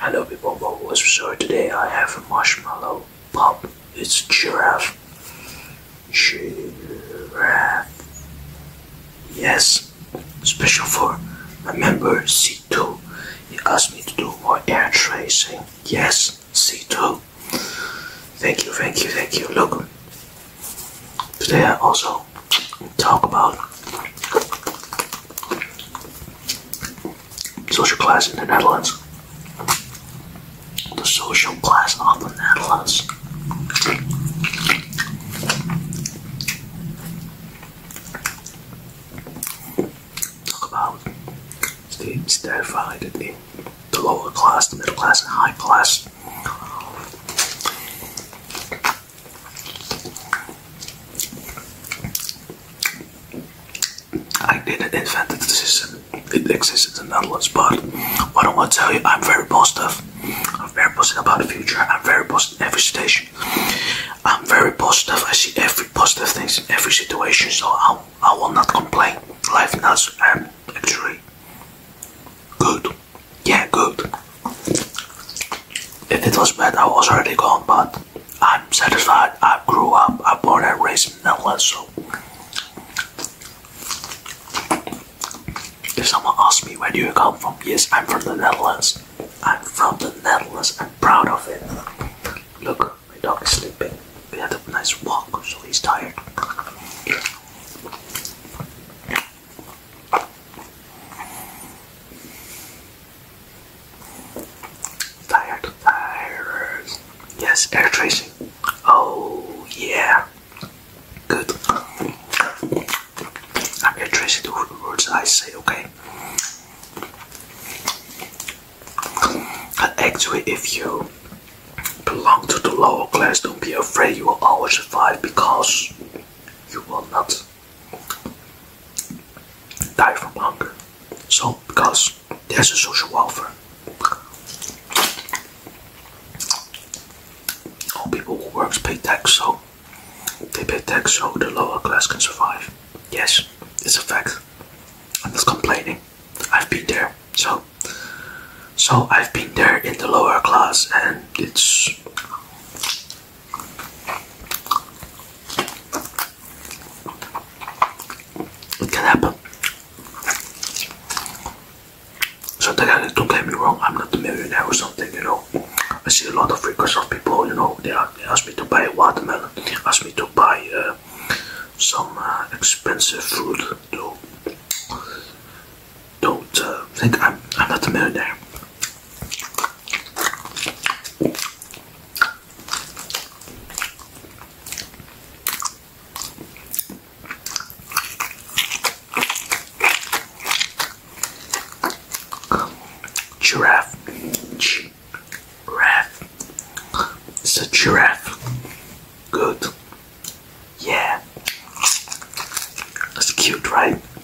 Hello people, Bob was sorry today I have a marshmallow pop. It's giraffe. Giraffe. Yes. Special for a member C2. He asked me to do more air tracing. Yes, C2. Thank you, thank you, thank you. Look. Today I also talk about social class in the Netherlands. The social class of the Netherlands. Talk about it's divided in the lower class, the middle class, and high class. I didn't invent the system. It exists in the Netherlands, but what I want to tell you, I'm very positive. I'm very positive about the future. I'm very positive in every situation. I'm very positive. I see every positive things in every situation, so I, I will not complain. Life now is um, actually good. Yeah, good. If it was bad, I was already gone, but I'm satisfied. I grew up. I born and raised in the Netherlands. if someone asks me where do you come from, yes, I'm from the Netherlands. I'm from the Netherlands. I'm proud of it. Look, my dog is sleeping. We had a nice walk, so he's tired. Tired tires. Yes, air tracing. Oh yeah. Good. I'm air tracing the words I say, okay? actually if you belong to the lower class, don't be afraid you will always survive because you will not die from hunger. So, because there's a social welfare, all people who works pay tax, so they pay tax, so the lower class can survive. Yes, it's a fact. I'm not complaining. I've been there, so so I've been there in the lower class, and it's can happen. So that don't get me wrong, I'm not a millionaire or something, you know. I see a lot of requests of people, you know, they, ask me to buy a watermelon, they ask me to buy uh, some uh, expensive food. Don't, don't uh, think I'm not a millionaire. Giraffe. Giraffe. It's a giraffe. Good. Yeah. That's cute, right?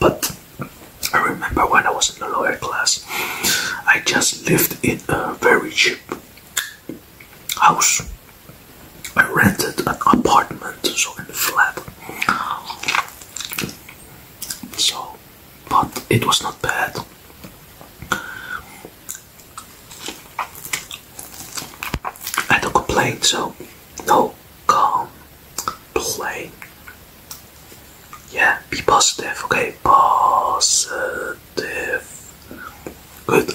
But I remember when I was in the lawyer class, I just lived in a very cheap house. I rented an apartment, so in a flat. So, but it was not bad. I don't complain, so no complain. Yeah, be positive, okay? Positive. Good.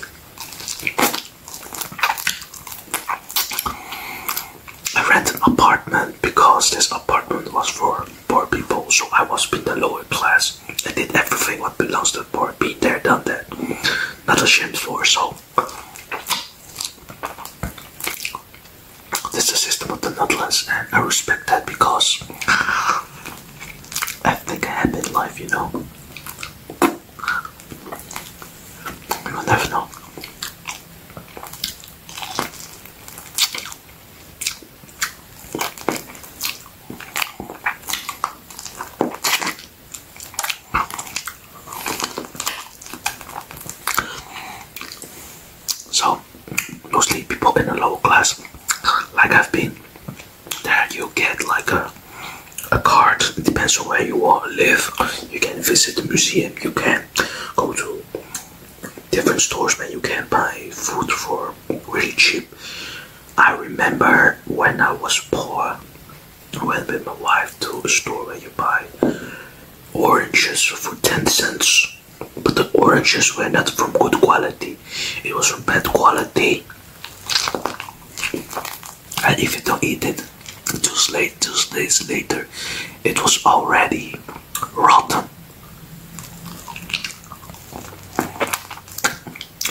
I rent an apartment because this apartment was for poor people, so I was in the lower class. I did everything what belongs to the poor already there, done that. Not a shame for so. This is the system of the Netherlands, and I respect that because I think I have in life, you know. You will never know. So, mostly people in the lower class, like I've been, there you get like a a card. It depends on where you are, live. You can visit the museum. You can go to different stores, but You can buy food for really cheap. I remember when I was poor, I went with my wife to a store where you buy oranges for 10 cents. But the oranges were not from good quality, it was from bad quality. And if you don't eat it, two days later, it was already rotten.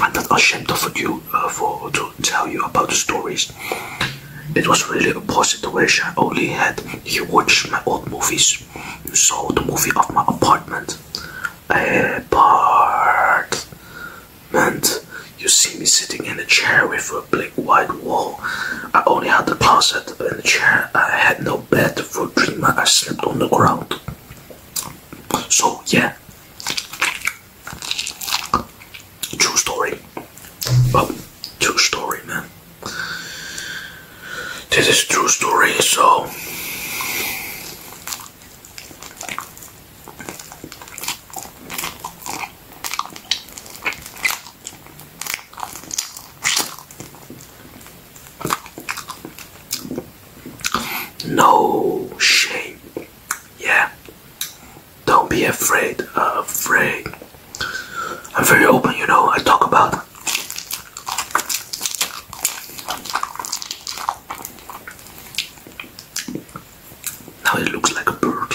I'm not ashamed of you uh, for to tell you about the stories. It was really a poor situation. I only had he watched my old movies. You saw the movie of my apartment. Apartment. You see me sitting in a chair with a black white wall. I only had the closet and the chair. I had no bed for three months. I slept on the ground. So yeah, true story. true story, man. This is true story. So. No shame. Yeah. Don't be afraid. Uh, afraid. I'm very open, you know. I talk about now it looks like a bird.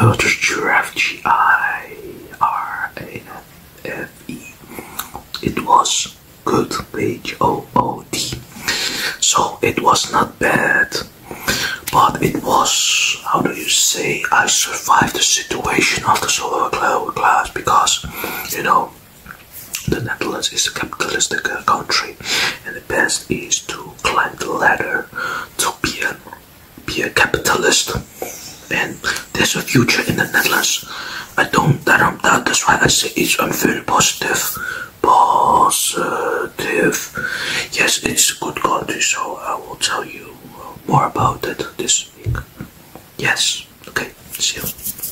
Oh, just giraffe. It was good. H O O D. So it was not bad, but it was how do you say? I survived the situation of the solar class because you know the Netherlands is a capitalist country, and the best is to climb the ladder to be a, be a capitalist. And there's a future in the Netherlands. I don't, I don't That's why I say it's. I'm very positive. Positive. Yes, it's a good country. So I will tell you more about it this week. Yes. Okay. See you.